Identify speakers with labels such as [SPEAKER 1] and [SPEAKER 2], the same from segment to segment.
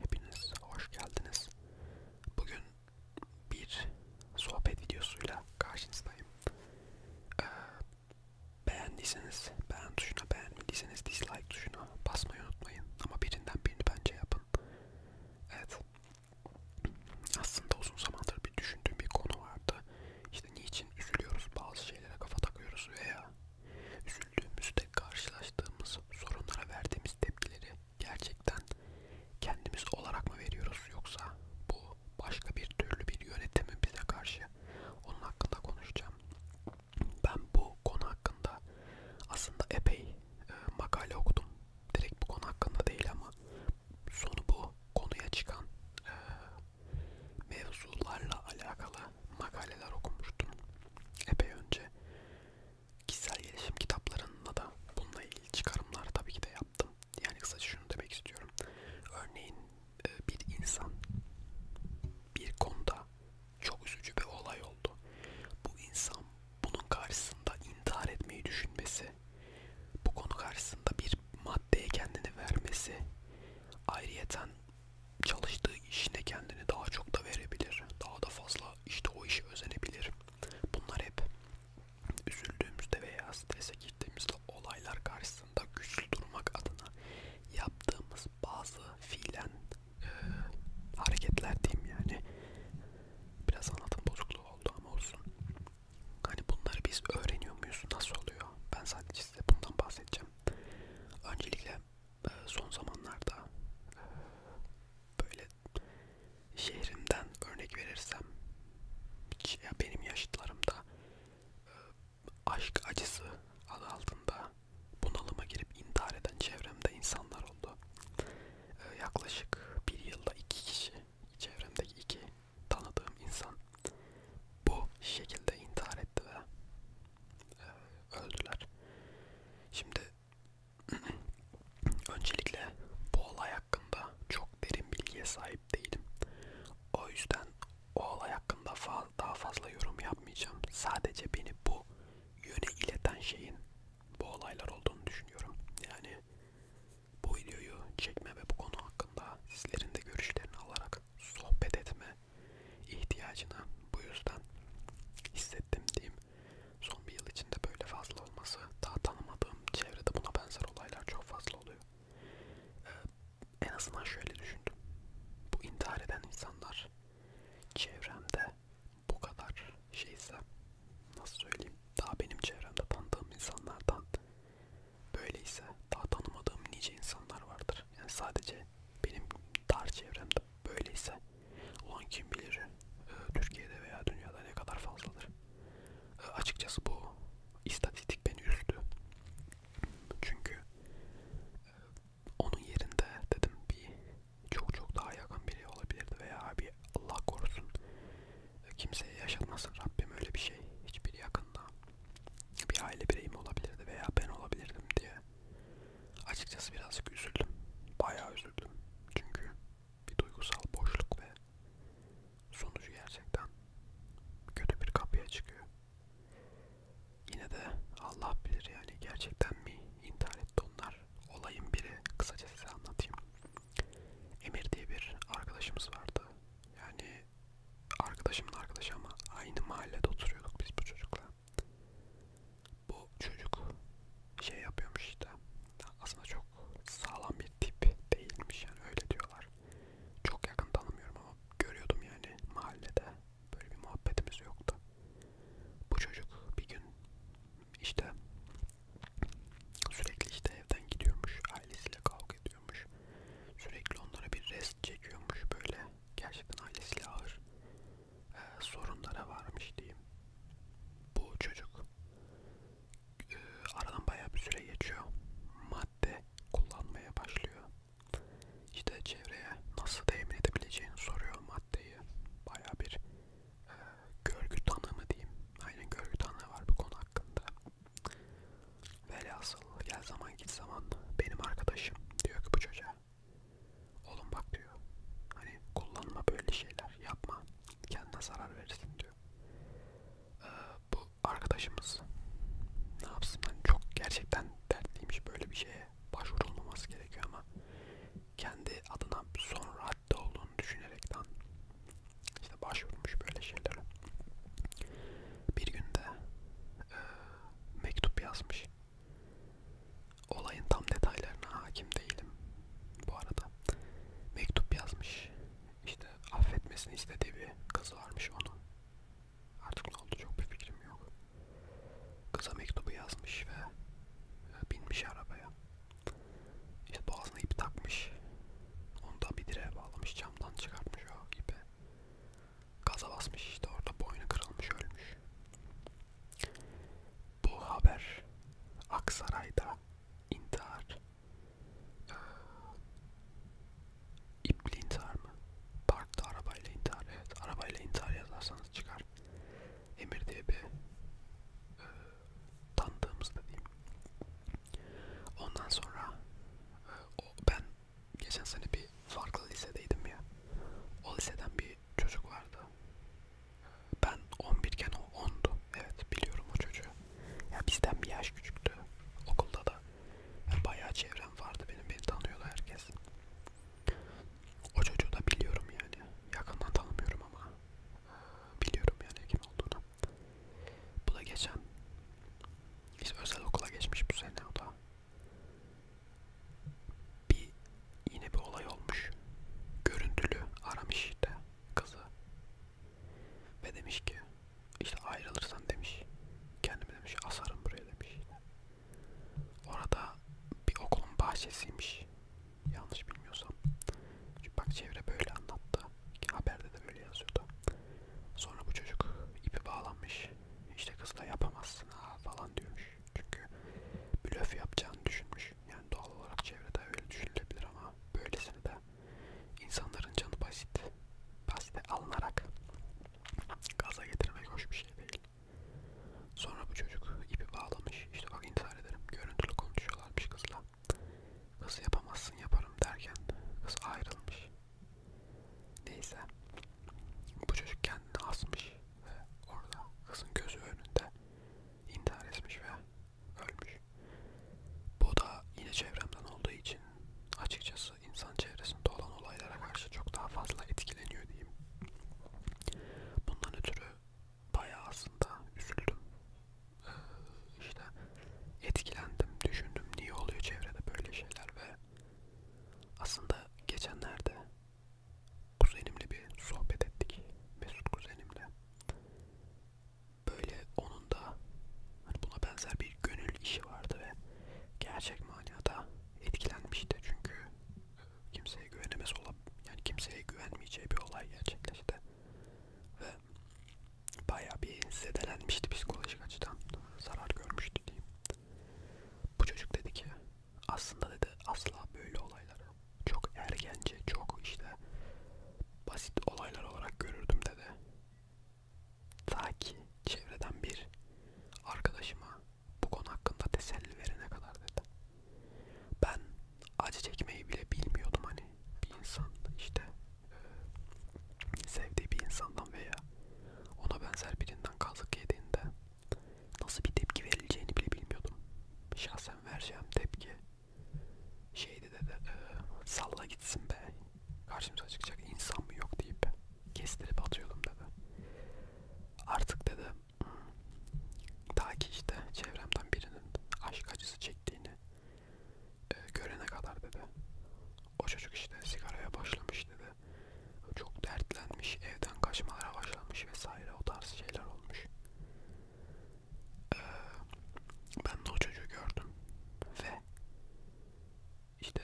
[SPEAKER 1] Hepiniz hoş geldiniz. Bugün bir sohbet videosuyla karşınızdayım. Ee, beğendiyseniz beğen tuşuna, beğenmediyseniz dislike tuşuna basmayı unutmayın. Ama birinden birini bence yapın. Evet. Aslında uzun zamandır bir düşündüğüm bir konu vardı. İşte niçin üzülüyoruz, bazı şeylere kafa takıyoruz veya küçüklüğümüzde karşılaştığımız sorunlara verdiğimiz tepkileri gerçekten kendimiz olarak mı veriyoruz yoksa bu başka bir türlü bir yönetimi bize karşı onun hakkında konuşacağım. Ben bu konu hakkında aslında epey e, makale okudum. Direkt bu konu hakkında değil ama sonu bu konuya çıkan e, mevzularla alakalı makaleler okumuştum. Epey önce kişisel gelişim kitaplarında da bununla ilgili çıkarımlar tabii ki de yaptım. Yani kısaca şunu demek istiyorum. Örneğin e, bir insan bir konuda çok üzücü bir olay oldu. Bu insan bunun karşısında intihar etmeyi düşünmesi, bu konu karşısında bir maddeye kendini vermesi, ayrıyeten çalıştığı işine kendini daha çok da verebilir. Daha da fazla işte o işe özenebilir. Bunlar hep üzüldüğümüzde veya strese girdiğimizde olaylar karşısında güçlü durmak adına yaptığımız bazı fiilen e, hareketler diyeyim yani. Biraz anlatım bozukluğu oldu ama olsun. Hani bunları biz öğreniyor muyuz? Nasıl oluyor? Ben sadece size bundan bahsedeceğim. Öncelikle ee, son zamanlarda böyle şehrimden örnek verirsem ya benim yaşıtlarımda e, aşk acısı adı altında bunalıma girip intihar eden çevremde insanlar oldu. E, yaklaşık bir yılda iki kişi, çevremdeki iki tanıdığım insan bu şekilde intihar etti ve ee, öldüler. Şimdi öncelikle bu olay hakkında çok derin bilgiye sahip değilim. O yüzden o olay hakkında fa daha fazla yorum yapmayacağım. Sadece beni bu yöne ileten şeyin bu olaylar olduğunu düşünüyorum. Yani bu videoyu çekme ve bu konu hakkında sizlerin de görüşlerini alarak sohbet etme ihtiyacını bu yüzden hissettim diyeyim. Son bir yıl içinde böyle fazla olması, daha tanımadığım çevrede buna benzer olaylar çok fazla oluyor. Ee, en azından şöyle düşündüm. Bu intihar eden insanlar çevremde bu kadar şeyse, nasıl söyleyeyim, daha benim çevremde tanıdığım insanlardan böyleyse daha tanımadığım nice insanlar vardır. Yani sadece benim dar çevremde böyleyse ulan kim bilir e, Türkiye'de veya dünyada ne kadar fazladır. E, açıkçası bu istatistik beni üzdü. Çünkü e, onun yerinde dedim bir çok çok daha yakın biri olabilirdi veya bir Allah korusun e, kimseye yaşatmasın Rabbim öyle bir şey hiçbir yakında bir aile bireyim olabilirdi veya ben olabilirdim diye Açıkçası birazcık üzüldüm. Bayağı üzüldüm. Çünkü bir duygusal boşluk ve sonucu gerçekten kötü bir kapıya çıkıyor. Yine de Allah bilir yani gerçekten mi intihar etti onlar. Olayın biri kısaca size anlatayım. Emir diye bir arkadaşımız vardı. Yani arkadaşımın arkadaşı ama aynı mahallede oturuyorduk biz bu çocukla bu çocuk şey yapıyormuş işte aslında çok sağlam bir tip değilmiş yani öyle diyorlar çok yakın tanımıyorum ama görüyordum yani mahallede böyle bir muhabbetimiz yoktu bu çocuk bir gün işte sürekli işte evden gidiyormuş ailesiyle kavga ediyormuş sürekli onlara bir rest çekiyormuş böyle gerçekten ailesiyle ağır e, ee, sorunlara varmış diyeyim. Bu çocuk e, aradan bayağı bir süre geçiyor. Madde kullanmaya başlıyor. İşte çevreye nasıl temin edebileceğini soruyor maddeyi. Bayağı bir e, görgü tanımı diyeyim. Aynen görgü tanığı var bu konu hakkında. Velhasıl gel zaman git zaman benim arkadaşım diyor ki bu çocuğa Oğlum bak diyor. Hani kullanma böyle şeyler. Yapma. Kendine zarar verirsin diyor. Ee, bu arkadaşımız ne yapsın? Hani çok gerçekten dertliymiş böyle bir şeye. Başvurulmaması gerekiyor ama kendi adına son radde olduğunu düşünerekten işte başvurmuş böyle şeylere. Bir günde e, mektup yazmış. Olayın tam detaylarına hakim değilim bu arada. Mektup yazmış. İşte affetmesini istediği bir kız varmış onun. Artık ne oldu çok bir fikrim yok. Kıza mektubu yazmış ve e, binmiş arabaya. İşte boğazına ip takmış. Onu da bir direğe bağlamış camdan çıkartmış o ipi. Gaza basmış işte orada boynu kırılmış ölmüş. Bu haber Aksaray'da intihar. Ee, İpli intihar mı? Parkta arabayla intihar. Evet arabayla intihar yazarsanız çıkar. Emir diye bir e, tanıdığımız da diyeyim. Ondan sonra e, o, ben geçen sene bir farklı lisedeydim ya. O liseden bir çocuk vardı. Ben 11 iken o 10'du. Evet biliyorum o çocuğu. Ya bizden bir yaş küçüktü. Okulda da ya bayağı çevrem vardı benim. Beni tanıyordu herkes. O çocuğu da biliyorum yani. Yakından tanımıyorum ama biliyorum yani kim olduğunu. Bu da geçen işte özel okula geçmiş bu sene o da bir yine bir olay olmuş. Görüntülü aramış işte kızı. Ve demiş ki işte ayrılırsan demiş. Kendimi demiş asarım buraya demiş. Orada bir okulun bahçesiymiş. Yanlış bilmiyorsam. Çünkü bak çevre böyle anlattı. Haberde de böyle yazıyordu. Sonra bu çocuk ipi bağlanmış. İşte kız da yapamazsın ha falan diyormuş. Çünkü blöf yapacağını düşünmüş. Yani doğal olarak çevrede öyle düşünülebilir ama böylesini de insanların canı basit. Basite alınarak gaza getirmek hoş bir şey değil. Sonra bu çocuk ipi bağlamış. İşte bak intihar ederim. Görüntülü konuşuyorlarmış kızla. Kız yapamazsın yaparım derken kız ayrılmış. Neyse. Bu çocuk kendini asmış ve orada kızın gözü önünde intihar etmiş ve ölmüş. Bu da yine çevremden olduğu için açıkçası insan çevresinde olan olaylara karşı çok daha fazla etkileniyor diyeyim. Bundan ötürü bayağı aslında üzüldüm. Ee, işte etkilendim, düşündüm niye oluyor çevrede böyle şeyler ve aslında geçenlerde kuzenimle bir sohbet ettik. Mesut kuzenimle. Böyle onun da hani buna benzer bir gönül işi vardı ve gerçek manada etkilenmişti çünkü e, kimseye güvenemez olup yani kimseye güvenmeyeceği bir olay gerçekleşti ve baya bir zedelenmişti psikolojik açıdan zarar görmüştü diyeyim bu çocuk dedi ki aslında dedi asla böyle olayları çok ergence, çok işte basit olaylar olarak görürdüm dedi. Ta ki çevreden bir arkadaşıma bu konu hakkında teselli verene kadar dedi. Ben acı çekmeyi bile bilmiyordum hani bir insan işte sevdiği bir insandan veya ona benzer birinden kazık yediğinde nasıl bir tepki verileceğini bile bilmiyordum. Şahsen vereceğim tepki şeydi dedi, e, salla gitsin be, karşımıza çıkacak insan mı yok deyip kestirip atıyordum dedi. Artık dedi, hmm, ta ki işte çevremden birinin aşk acısı çektiğini e, görene kadar dedi. O çocuk işte sigaraya başlamış dedi. Çok dertlenmiş, evden kaçmalara başlamış vesaire o tarz şeyler olmuş. Ee, ben de o çocuğu gördüm ve işte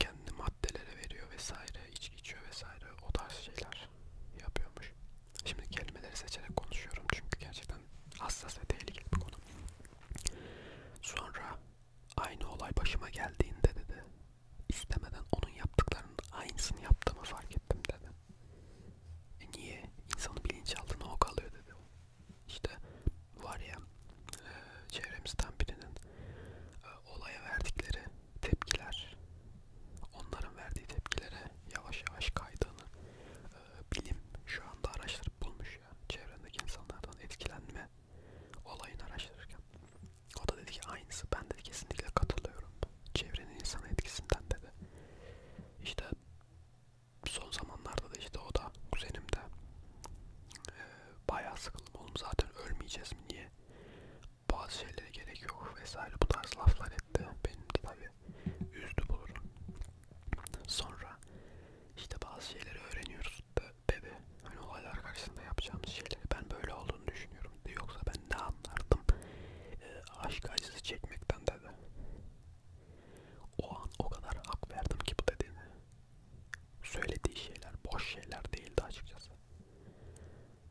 [SPEAKER 1] kendi maddelere veriyor vesaire, içki içiyor vesaire o tarz şeyler yapıyormuş. Şimdi kelimeleri seçerek konuşuyorum çünkü gerçekten hassas ve tehlikeli bir konu. Sonra aynı olay başıma geldiğinde dedi istemeden onun yaptıklarının aynısını yaptığımı fark ettim dedi. E niye? İnsanın bilinçaltına o kalıyor dedi. İşte var ya e, çevremizden birinin e, olaya verdikleri tepkiler onların verdiği tepkilere yavaş yavaş kaydığını e, bilim şu anda araştırıp bulmuş ya çevrendeki insanlardan etkilenme olayını araştırırken. O da dedi ki aynısı. Ben dedi kesinlikle katılıyorum. Çevrenin insan etkisinden dedi. İşte son zamanlarda da işte o da kuzenim de e, bayağı sıkıldım. Oğlum zaten ölmeyeceğiz mi? Niye? Bazı şeylere gerek yok vesaire. Bu tarz laflar etti. Benim de tabii üzdü bulurum. Sonra işte bazı şeyleri öğreniyoruz dedi. Hani olaylar karşısında yapacağımız şeyleri ben böyle olduğunu düşünüyorum dedi. Yoksa ben ne anlardım e, aşk acısı çekmekten dedi. O an o kadar hak verdim ki bu dediğini. Söylediği şeyler boş şeyler değildi açıkçası.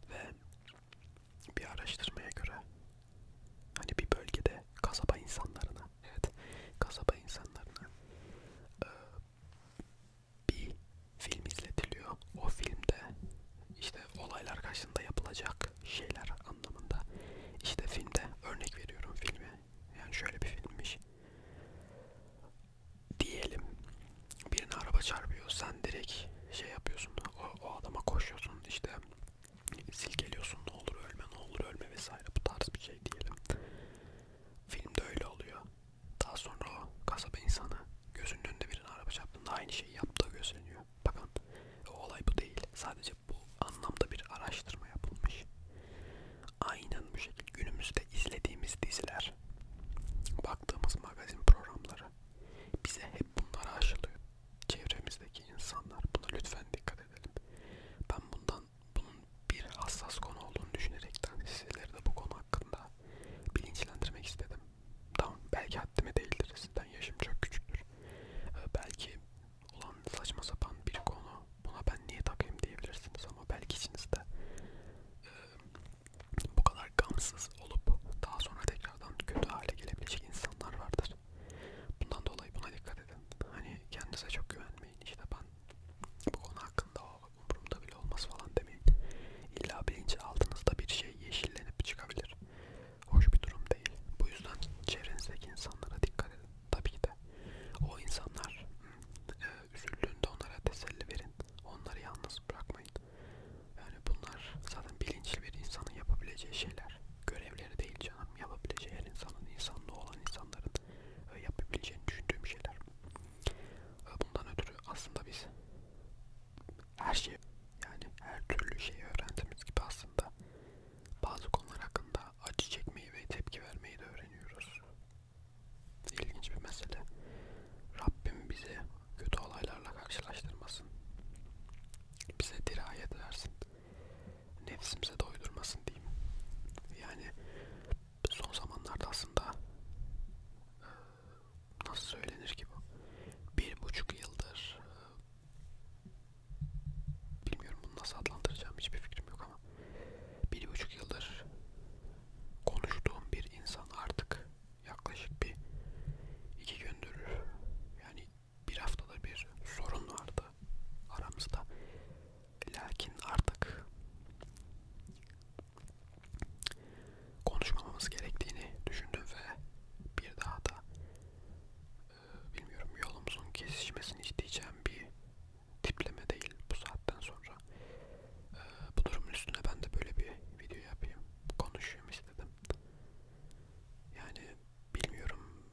[SPEAKER 1] Ve bir araştırmaya göre hani bir bölgede kasaba insanlarına evet kasaba insanlarına e, bir film izletiliyor. O filmde işte olaylar karşısında yapılacak şeyler anlamında. İşte filmde örnek veriyorum filmi. Yani şöyle bir filmmiş. Diyelim birine araba çarpıyor. Sen direkt şey yapıyorsun. O, o adama koşuyorsun. işte silkeliyorsun. Ne olur ölme, ne olur ölme vesaire. Bu tarz bir şey diyelim. Filmde öyle oluyor. Daha sonra o kasaba insanı gözünün önünde birine araba çarptığında aynı şeyi yaptığı gözleniyor. Bakın o olay bu değil. Sadece bu anlamda bir araştırma yapılmış. Aynen bu şekilde günümüzde izlediğimiz diziler, baktığımız magazin programları bize hep bunları aşılıyor. Çevremizdeki insanlar buna lütfen dikkat edelim. Ben bundan bunun bir hassas konu olduğunu düşünerekten sizleri de bu konu hakkında bilinçlendirmek istedim. Tamam belki haddime değildir sizden yaşım çok küçüktür. Ee, belki olan saçma sapan bir konu buna ben niye takayım diyebilirsiniz ama belki içinizde e, bu kadar gamsız olup daha sonra tekrardan kötü hale gelebilecek insanlar vardır. Bundan dolayı buna dikkat edin. Hani kendinize çok güvenmeyin. İşte ben falan. Bu konu hakkında o umurumda bile olmaz falan demeyin. İlla bilinç altınızda bir şey yeşillenip çıkabilir. Hoş bir durum değil. Bu yüzden çevrenizdeki insanlara dikkat edin. Tabii ki de o insanlar e, üzüldüğünde onlara teselli verin. Onları yalnız bırakmayın. Yani bunlar zaten bilinçli bir insanın yapabileceği şeyler. Görevleri değil canım. Yapabileceği her insanın, insanlığı olan insanların ee, yapabileceğini düşündüğüm şeyler. Ee, bundan ötürü aslında biz her şey yani her türlü şeyi öğrendiğimiz gibi aslında bazı konular hakkında acı çekmeyi ve tepki vermeyi de öğreniyoruz. İlginç bir mesele. Rabbim bizi kötü olaylarla karşılaştırmasın. Bize dirayet versin nefsimize doydurmasın diyeyim. Yani son zamanlarda aslında e, nasıl söylenir ki bu? Bir buçuk yıldır e, bilmiyorum bunu nasıl adlandıracağım hiçbir fikrim yok ama bir buçuk yıldır konuştuğum bir insan artık yaklaşık bir iki gündür yani bir haftada bir sorun vardı aramızda Lakin artık konuşmamamız gerektiğini düşündüm ve bir daha da e, bilmiyorum yolumuzun kesişmesini isteyeceğim bir tipleme değil bu saatten sonra. E, bu durumun üstüne ben de böyle bir video yapayım, konuşayım istedim. Yani bilmiyorum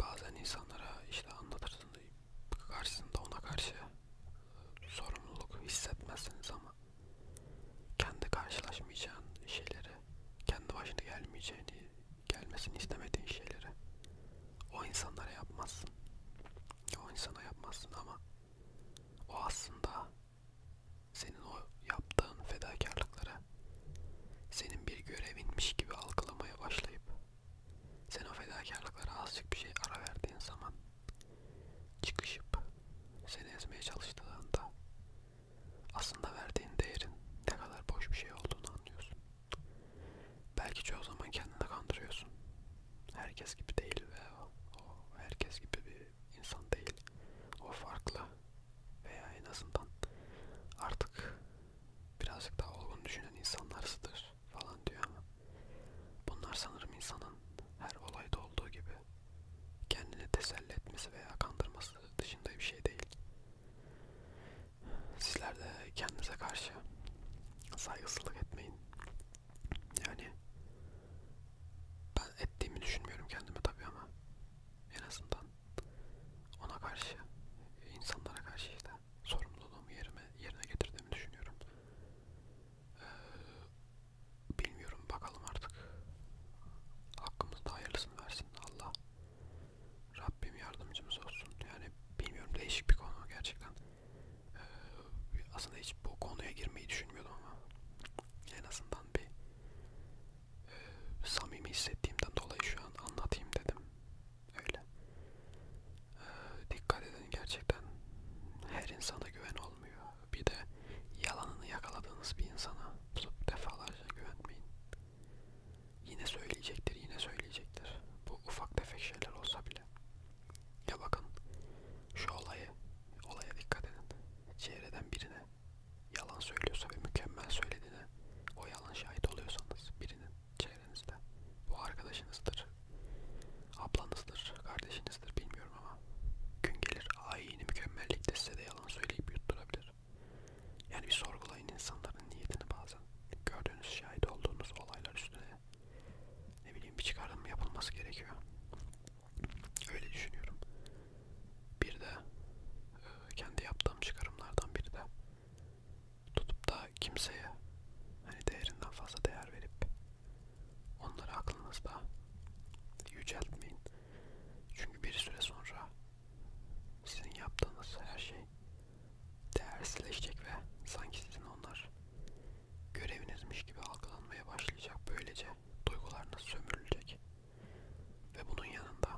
[SPEAKER 1] bazen insanlara işte anlatırsın karşısında ona karşı e, sorumluluk hissetmezsiniz ama kendi karşılaşmayacağın şeyleri, kendi başına gelmeyeceğini, gelmesini istemediğin şeyleri o insanlara yapmazsın. O insana yapmazsın ama o aslında senin o yaptığın fedakarlıkları senin bir görevinmiş gibi algılamaya başlayıp sen o fedakarlıklara azıcık bir şey ara verdiğin zaman çıkışıp seni ezmeye çalıştığında aslında verdiğin değerin ne kadar boş bir şey olduğunu anlıyorsun. Belki çoğu zaman kendini kandırıyorsun. Herkes gibi değil ve o, o herkes gibi bir insan değil. O farklı veya en azından artık birazcık daha olgun düşünen insanlarsıdır falan diyor ama bunlar sanırım insanın her olayda olduğu gibi kendini teselli etmesi veya kandırması dışında bir şey değil. Sizler de kendinize karşı saygısızlık etmeyin. Yani ben ettiğimi düşünmüyorum kendime tabii ama en azından ona karşı, insanlara karşı işte sorumluluğumu yerime, yerine getirdiğimi düşünüyorum. Ee, bilmiyorum bakalım artık. Hakkımızda hayırlısını versin Allah. Rabbim yardımcımız olsun. Yani bilmiyorum değişik bir konu gerçekten. Ee, aslında hiç bu konuya girmeyi düşünmüyordum ama en azından bir e, samimi hissettiğimden dolayı şu an anlatayım dedim. Öyle. Ee, dikkat edin gerçekten her insana güven olmuyor. Bir de yalanını yakaladığınız bir insana defalarca güvenmeyin. Yine söyleyecektir, yine söyleyecektir. Bu ufak tefek şeyler olsa bile. Ya bakın şu olayı, olaya dikkat edin. Çevreden birine yalan söylüyorsa ve mükemmel söylediğine o yalan şahit oluyorsanız birinin çevrenizde. Bu arkadaşınızdır, ablanızdır, kardeşinizdir bilmiyorum ama gün gelir ayini mükemmellikte size de yalan söyleyip yutturabilir. Yani bir sorgulayın insanların niyetini bazen. Gördüğünüz, şahit olduğunuz olaylar üstüne ne bileyim bir çıkarım yapılması gerekiyor. Öyle düşünüyorum. Bir de e, kendi yaptığım çıkarımlardan biri de tutup da kimseye hani değerinden fazla değer verip onları aklınızda yüceltmeyin. Çünkü bir süre sonra sizin yaptığınız her şey değersizleşecek ve sanki sizin onlar görevinizmiş gibi algılanmaya başlayacak. Böylece duygularınız sömürülecek. Ve bunun yanında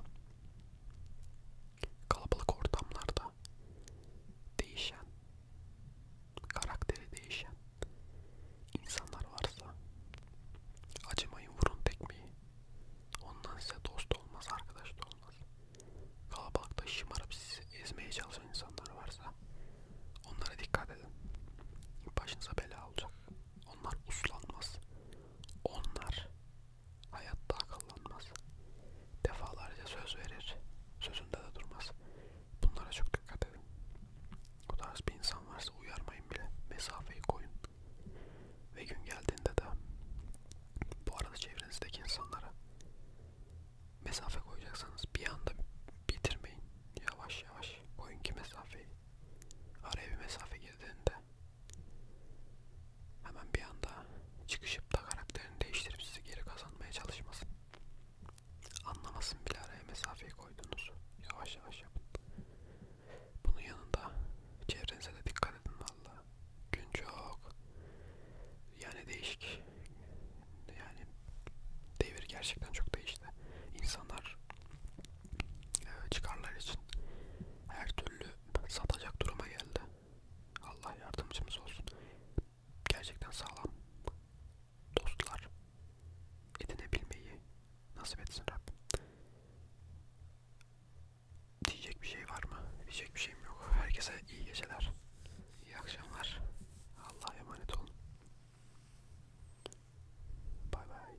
[SPEAKER 1] kalabalık ortamlarda değişen, karakteri değişen insanlar varsa acımayın vurun tekmeyi. Ondan size dost olmaz, arkadaş da olmaz. Kalabalıkta şımarıp sizi ezmeye çalışan insanlar varsa onlara dikkat edin. Başınıza bela olacak. Onlar uslanmaz. Onlar Hayatta akıllanmaz. Defalarca söz verir. Sözünde de durmaz. Bunlara çok dikkat edin. Bu tarz bir insan varsa uyarmayın bile. Mesafeyi koyun. Ve gün geldiğinde de bu arada çevrenizdeki insanlara mesafe koyacaksanız bir anda bitirmeyin. Yavaş yavaş koyun ki mesafeyi. Araya bir mesafe girdiğinde hemen bir anda çıkışıp da karakterini değiştirip sizi geri kazanmaya çalışmasın. Anlamasın bile araya mesafeyi koydunuz. Yavaş yavaş yapın. Bunun yanında çevrenize de dikkat edin valla. Gün çok yani değişik. Yani devir gerçekten çok değişti. İnsanlar e, çıkarlar için her türlü satacak duruma geldi. Allah yardımcımız olsun. Gerçekten sağlam dostlar edinebilmeyi nasip etsin Rabbim. Diyecek bir şey var mı? Diyecek bir şeyim yok. Herkese iyi geceler. İyi akşamlar. Allah'a emanet olun. Bay bay.